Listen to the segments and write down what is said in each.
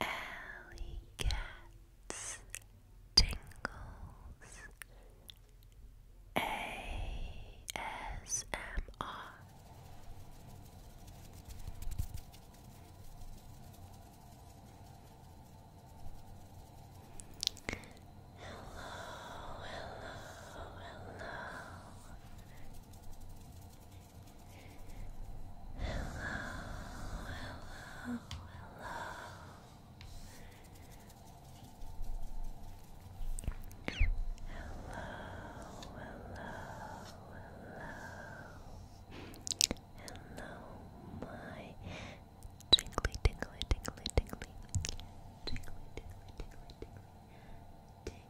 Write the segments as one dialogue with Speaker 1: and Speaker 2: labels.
Speaker 1: Alley cats tingles ASMR Hello, hello, hello hello, hello, hello, hello, my tingly, tingly, tingly, tingly, tingly, tingly, tingly, tingly,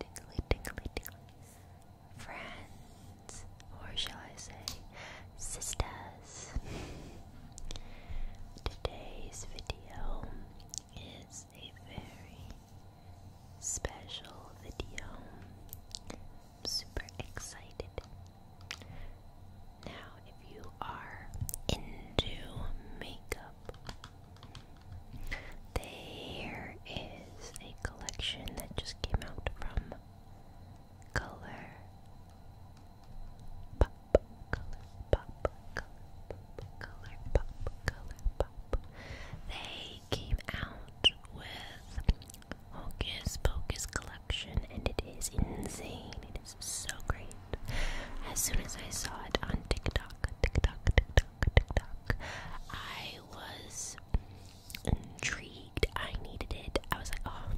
Speaker 1: tingly, tingly, tingly, tingly. Friends, or shall I say, sisters. Today's video is a very special video. I'm super excited. Now, if you are into makeup, there is a collection that just came out from Color Pop, Color Pop, Color Pop, Color Pop, Color Pop. They came out with Hocus Pocus collection and it is insane. It is so great. As soon as I saw it on TikTok, TikTok, TikTok, TikTok, I I was intrigued. I needed it. I was like, oh.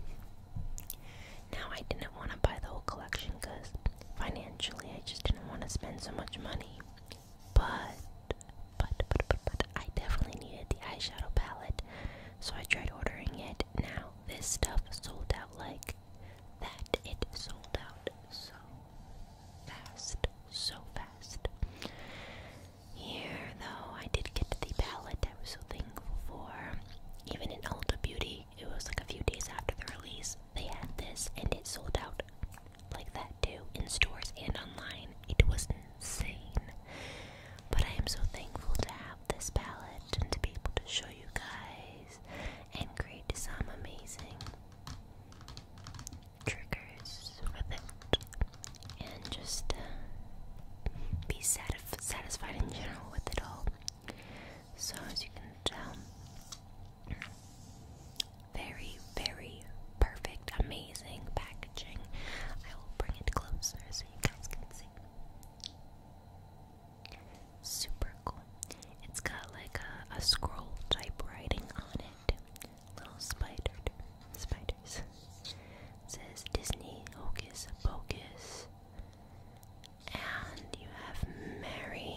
Speaker 1: Now I didn't want to buy the whole collection because financially I just didn't want to spend so much money. But, but, but, but, but, I definitely needed the eyeshadow palette. So I tried ordering it. Now this stuff sold out like that. It sold out. So fast, so fast. Here, though, I did get the palette I was so thankful for. Even in Ulta Beauty, it was like a few days after the release, they had this and it sold out like that too, in stores and online. It was insane. But I am so thankful to have this palette and to be able to show you guys and create some amazing triggers with it and just uh, be satisf satisfied in general with it all. So, as you can tell, very, very perfect, amazing packaging. I will bring it closer so you guys can see. Super cool. It's got like a, a scroll type writing on it little spider spiders. says Disney Hocus Pocus. And you have Mary,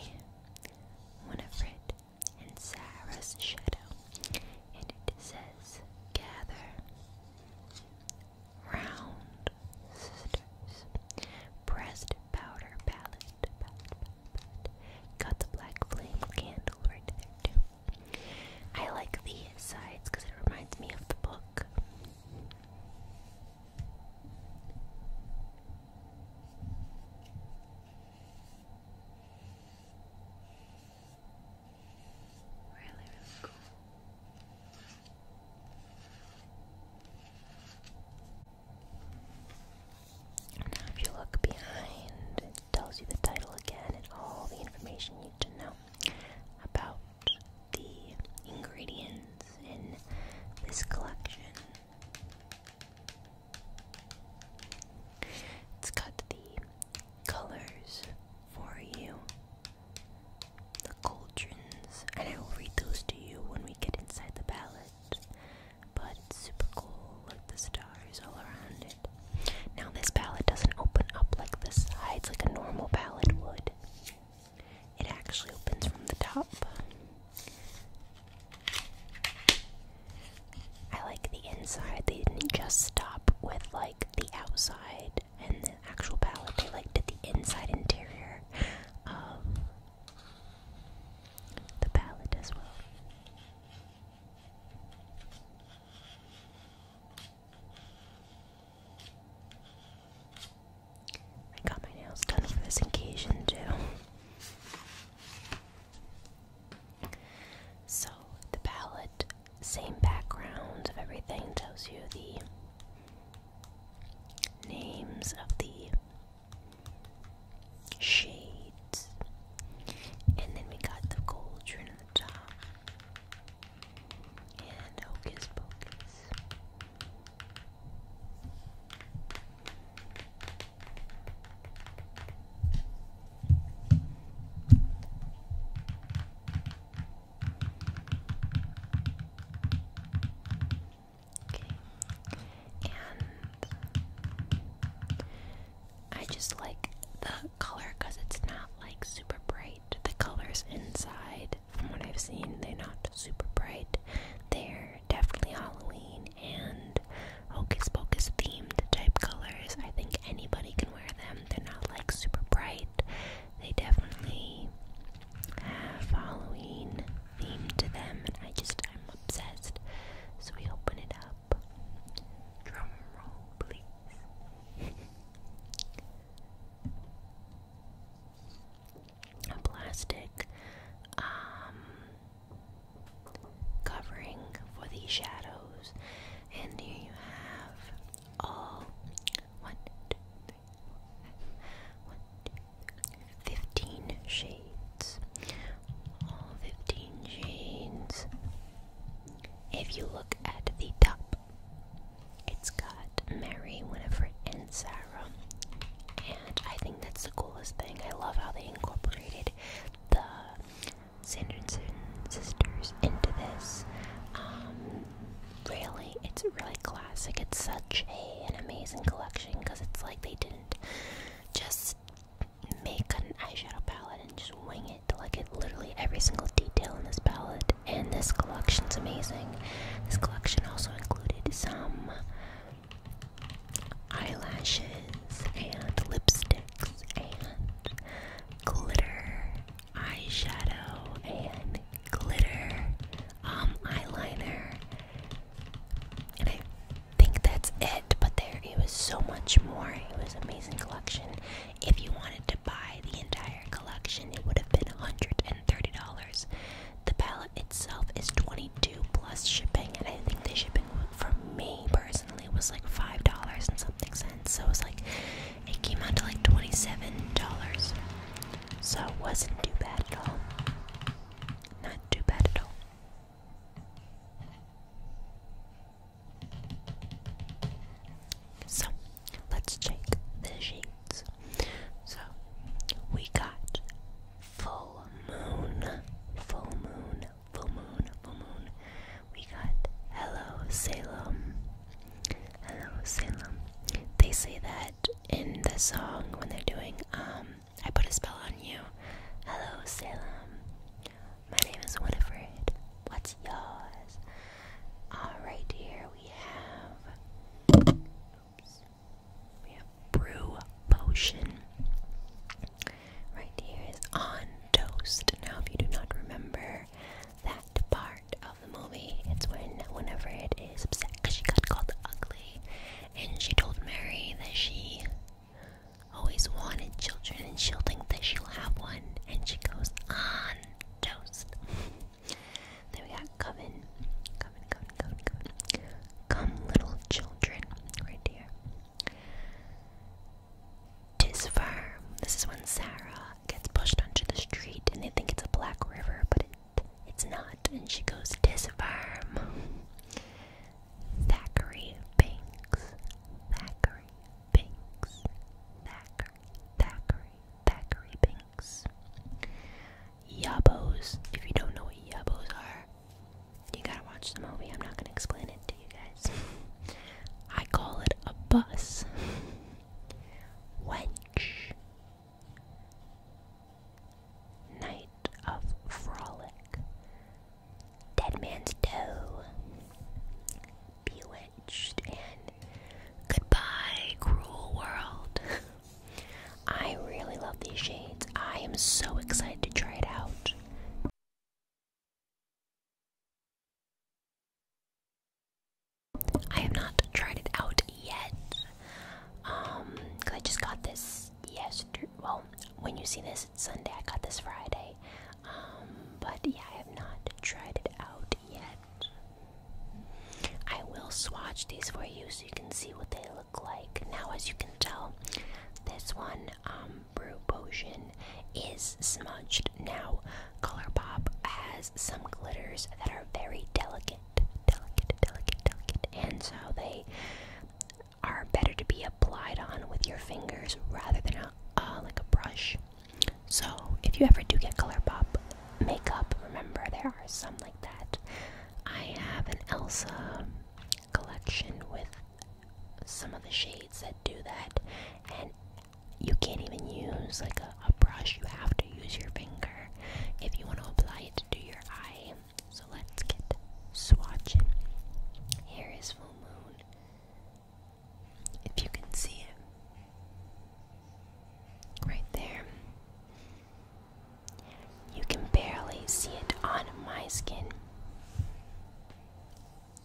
Speaker 1: Winifred, and Sarah's shadow. And it says gather round sisters breast powder palette Got the black flame candle right there too. I like the sides because it reminds me of the book. Really, really cool. Now, if you look behind, it tells you the title again and all the information you need to know about the ingredients in this collection. It's got the colors for you, the cauldrons, and I will read those to you when we get inside the palette but super cool with the stars all around it. Now this palette doesn't open up like the sides like a normal palette would. It actually opens from the top. I like the inside. They didn't just stop with like the outside and the actual palette. They like did the inside interior of the palette as well. I got my nails done for this occasion too. So the palette, same background of everything, tells you the names of the shades, and then we got the cauldron on the top, and hocus pocus. And I just like the color because it's not like super bright. The colors inside, from what I've seen, they're not super bright. They're definitely Halloween and Hocus Pocus themed type colors. I think anybody can wear them. They're not like super bright. They definitely have Halloween theme to them, and I just, I'm obsessed. So we open it up. Drum roll, please. A plastic um, covering for the shadows, and here you have all one, three. Fifteen shades. All fifteen shades. If you look at the top, it's got Mary, Winifred, and Sarah. And I think that's the coolest thing. I love how they incorporated the Sanderson sisters into this. Um, really, it's really it's such an amazing collection because it's like they didn't just make an eyeshadow palette and just wing it. Like it literally every single detail in this palette and this collection's amazing. This collection also included some eyelashes and lipsticks and glitter eyeshadow and glitter um, eyeliner and I think that's it, but there it was so much more. It was amazing collection. If you wanted to buy the entire collection, it would have been $130. The palette itself is 22 plus shipping, and I think the shipping for me personally was like $5 and something cents. So it was like it came out to like $27. So it wasn't too bad at all. Not too bad at all. So let's check the sheets. So we got full moon, full moon, full moon, full moon. We got hello Salem. Hello Salem. They say that in the song when they're doing um I put a spell on you. Hello Salem. My name is Winifred. What's yours? Alright here we have we have brew potion. Right here is on toast. Now if you do not remember that part the movie. It's when, whenever it is upset because she got called ugly, and she told Mary that she always wanted children, and she'll think that she'll have one, and she goes on toast. then we got come Coven, come, come, come, Come, little children, right here. Tis firm. This is when Sarah gets pushed onto the street and they think it's a black river, but it it's not. And she goes, Tis Thackeray Banks. Thackeray Banks. Thackeray. Thackeray. Thackeray Banks. Yabos. If you don't know what yabos are, you gotta watch the movie. I'm not gonna explain it to you guys. I call it a bus. Wench. Night of Frolic, Dead Man's Toe, Bewitched, and Goodbye, Cruel World. I really love these shades. I am so excited to try it out. I have not tried it out yet. Um, cause I just got this yesterday. Well, when you see this, it's Sunday. I got this Friday. Um, but yeah, I have not tried it out yet. I will swatch these for you so you can see what they look like. Now, as you can tell, this one, um, Brew Potion, is smudged. Now, Colour Pop has some glitters that are very delicate delicate, delicate, delicate. And so they are better to be applied on with your fingers rather than a, uh, like a brush. So if you ever do get color pop makeup, remember there are some like that. I have an Elsa collection with some of the shades that do that, you can't even use like a, brush. You have to use your finger if you want to apply it to your eye. So let's get swatching. Here is full moon. If you can see it. Right there. You can barely see it on my skin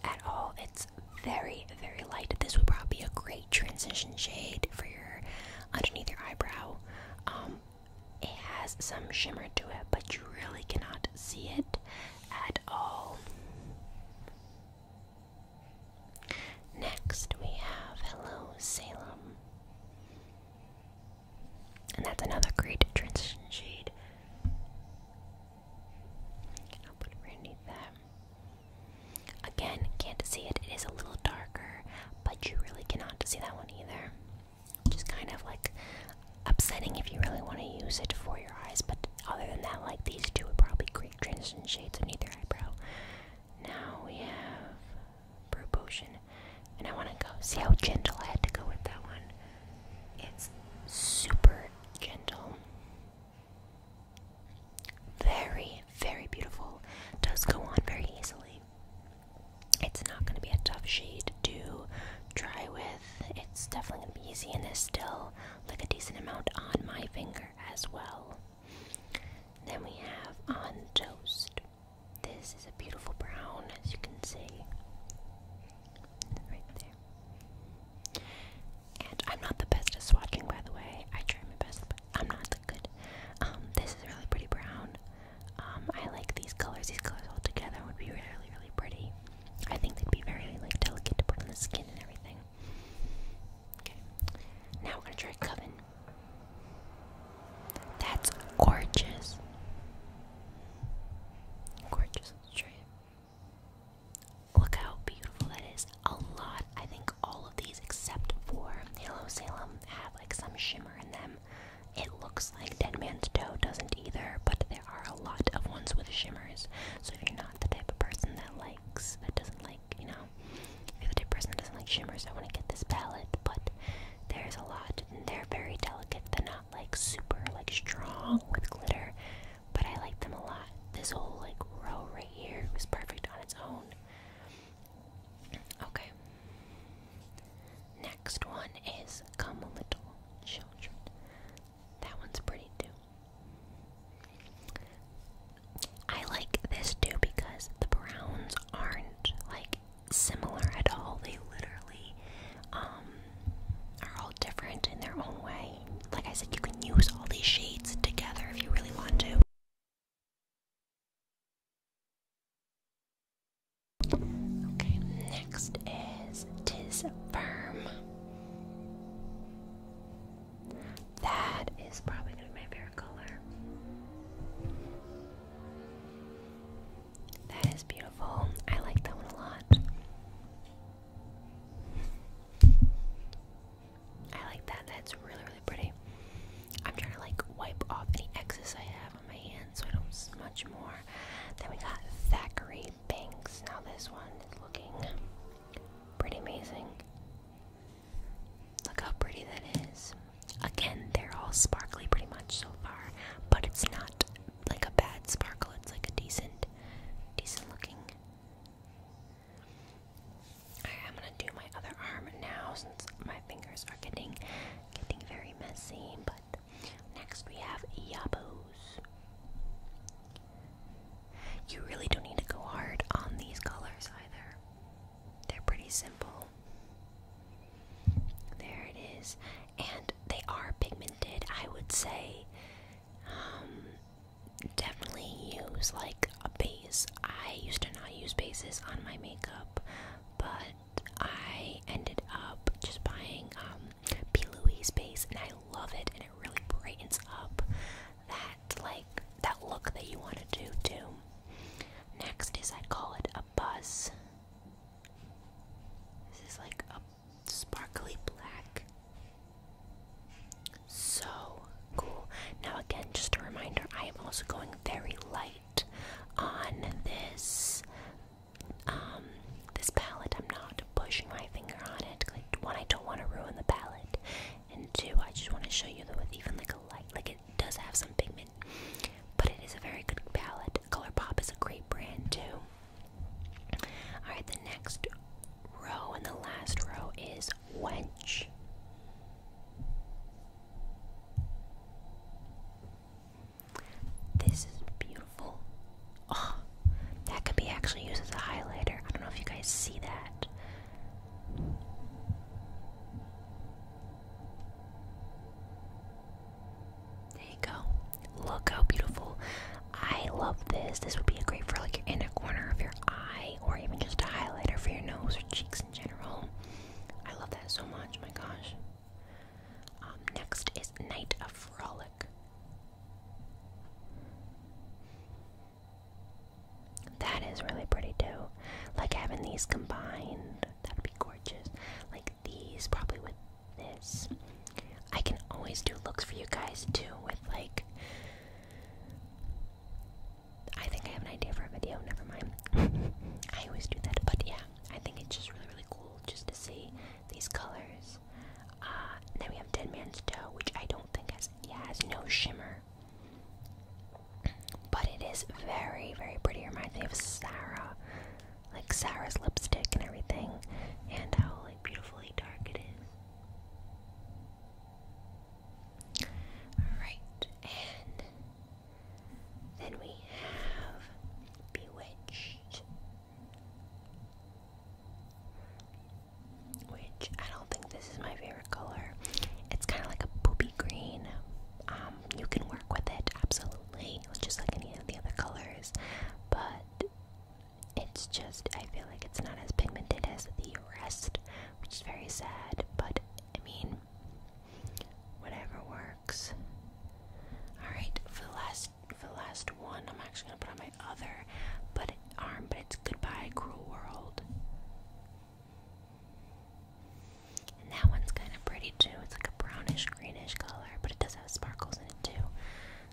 Speaker 1: at all. It's very, very light. This would probably be a great transition shade for your underneath your eyebrow. Um, it has some shimmer to it, but you really cannot see it at all. Next, we have Hello Salem. And that's another great transition shade. I'll put it underneath that. Again, can't see it. It is a little darker, but you really cannot see that one either. Just kind of like upsetting if you really want to use it for your eyes, but other than that, like these two would probably create transition shades on either eyebrow. Now we have brew potion, and I want to go see how gentle I had to go with that one. It's super gentle. Very, very beautiful. Does go on very easily. It's not going to be a tough shade to try with. It's definitely going to be easy, and there's still like a decent amount on my finger as well. Then we have on toast. This is a beautiful brown, as you can see. Right there. And I'm not the best at swatching, by the way. I try my best, but I'm not that good. Um, this is really pretty brown. Um, I like these colors. These colors all together would be really, really pretty. I think they'd be very like delicate to put on the skin and everything. Okay. Now we're gonna try Coven. That's gorgeous. Gorgeous. Let's try it. Look how beautiful that is. A lot, I think all of these except for Halo Salem have like some shimmer in them. It looks like Dead Man's Toe doesn't either, but there are a lot of ones with shimmers. So if you're not the type of person that likes, that doesn't like, you know, if you're the type of person that doesn't like shimmers, I want to get this palette, but there's a lot. they're very delicate. They're not like super like strong with glitter but I like them a lot. This whole like row right here was perfect on its own. Okay. Next one is Come Little Children. That one's pretty too. I like this too because the browns aren't like similar at all. They literally um, are all different in their own way like I said, you can use all these shades together if you really want to. Okay, next is Tis Firm. That is probably going to be my favorite color. That is beautiful. I like that one a lot. I like that. That's really, really pretty. I'm trying to like wipe off any excess I have on my hands so I don't smudge more. Then we got Thackeray Banks. Now this one is looking pretty amazing. Look how pretty that is. Again, they're all sparkly pretty much so far, but it's not like a bad sparkle. It's like a decent, decent looking I'm gonna do my other arm now since my fingers are getting getting very messy. But next we have Yabos. You really don't need to go hard on these colors either. They're pretty simple. There it is. And they are pigmented. I would say um, definitely use like a base. I used to not use bases on my makeup, but I ended up just buying um, P. Louise base, and I love it, and it really brightens up that like that look that you want to do too. Next is I call it a buzz. This is like a sparkly black. So cool. Now, again, just a reminder I am also going very light on this um this palette i'm not pushing my finger on it like one i don't want to ruin the palette and two i just want to show you that with even like a light like it does have some pigment but it is a very good palette colourpop is a great brand too Alright, the next row and the last row is wench. This is beautiful. Oh, that could be actually used as a highlighter. I don't know if you guys see that. There you go. Look how beautiful. I love this. This would be a great for like your inner corner of your eye or even just a highlighter for your nose or cheeks in general. I love that so much, my gosh. Um, next is Night of Frolic. That is really pretty too. Like having these combined, that'd be gorgeous. Like these, probably would this. I can always do looks for you guys too with like I think I have an idea for a video, never mind. I always do that, but yeah, I think it's just really really cool just to see these colors. Ah, then we have Dead Man's Toe, which I don't think has yeah, has no shimmer. But it is very, very pretty. It reminds me of Sarah. Like Sarah's lipstick and everything. And how beautifully dark it is. Alright, and then we have Bewitched. Which I don't think this is my favorite color. It's kind of like a poopy green. Um, you can work with it absolutely, just like any of the other colors, but it's just, I feel like it's not as pigmented as the rest, which is very sad, but I mean, whatever works. Alright, for the last for the last one, I'm actually gonna put on my other but arm, but it's goodbye, cruel world. And that one's kind of pretty too. It's like a brownish greenish color, but it does have sparkles in it too.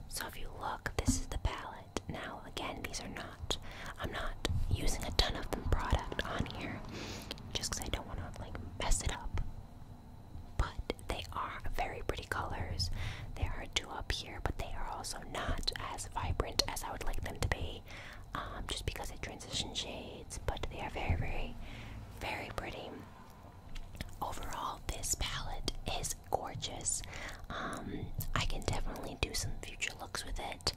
Speaker 1: So if you look, this is the palette. Now again, these are not. I'm not using a ton of the product on here, just because I don't want to like mess it up. But they are very pretty colors. They are two up here, but they are also not as vibrant as I would like them to be, um, just because it transition shades. But they are very, very, very pretty. Overall, this palette is gorgeous. Um, I can definitely do some future looks with it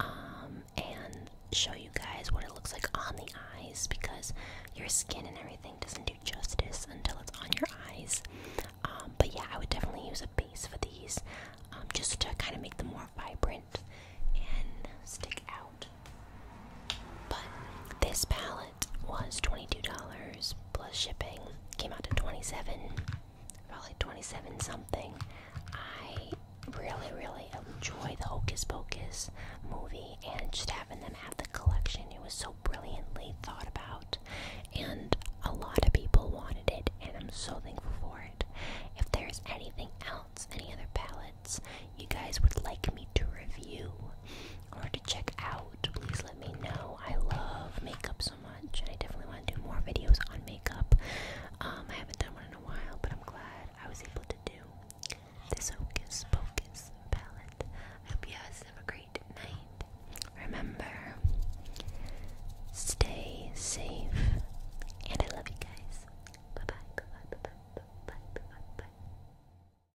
Speaker 1: um, and show you guys what it looks like on the eyes because your skin and everything doesn't do justice until it's on your eyes. Um, but yeah, I would definitely use a base for these just to kind of make them more vibrant and stick out. But this palette was $22 plus shipping. Came out to 27 about like 27 something. I really, really enjoy the Hocus Pocus movie and just having them have the collection. It was so brilliantly thought about, and a lot of people wanted it, and I'm so thankful for it. If there's anything else, any other palettes you guys would like me to review, or to check out, please let me know. I love makeup so much, and I definitely want to do more videos on makeup. Um, I haven't done one in a while, but I'm glad I was able to do this Hocus Pocus palette. I hope you guys have a great night. Remember, stay safe, and I love you guys. bye bye.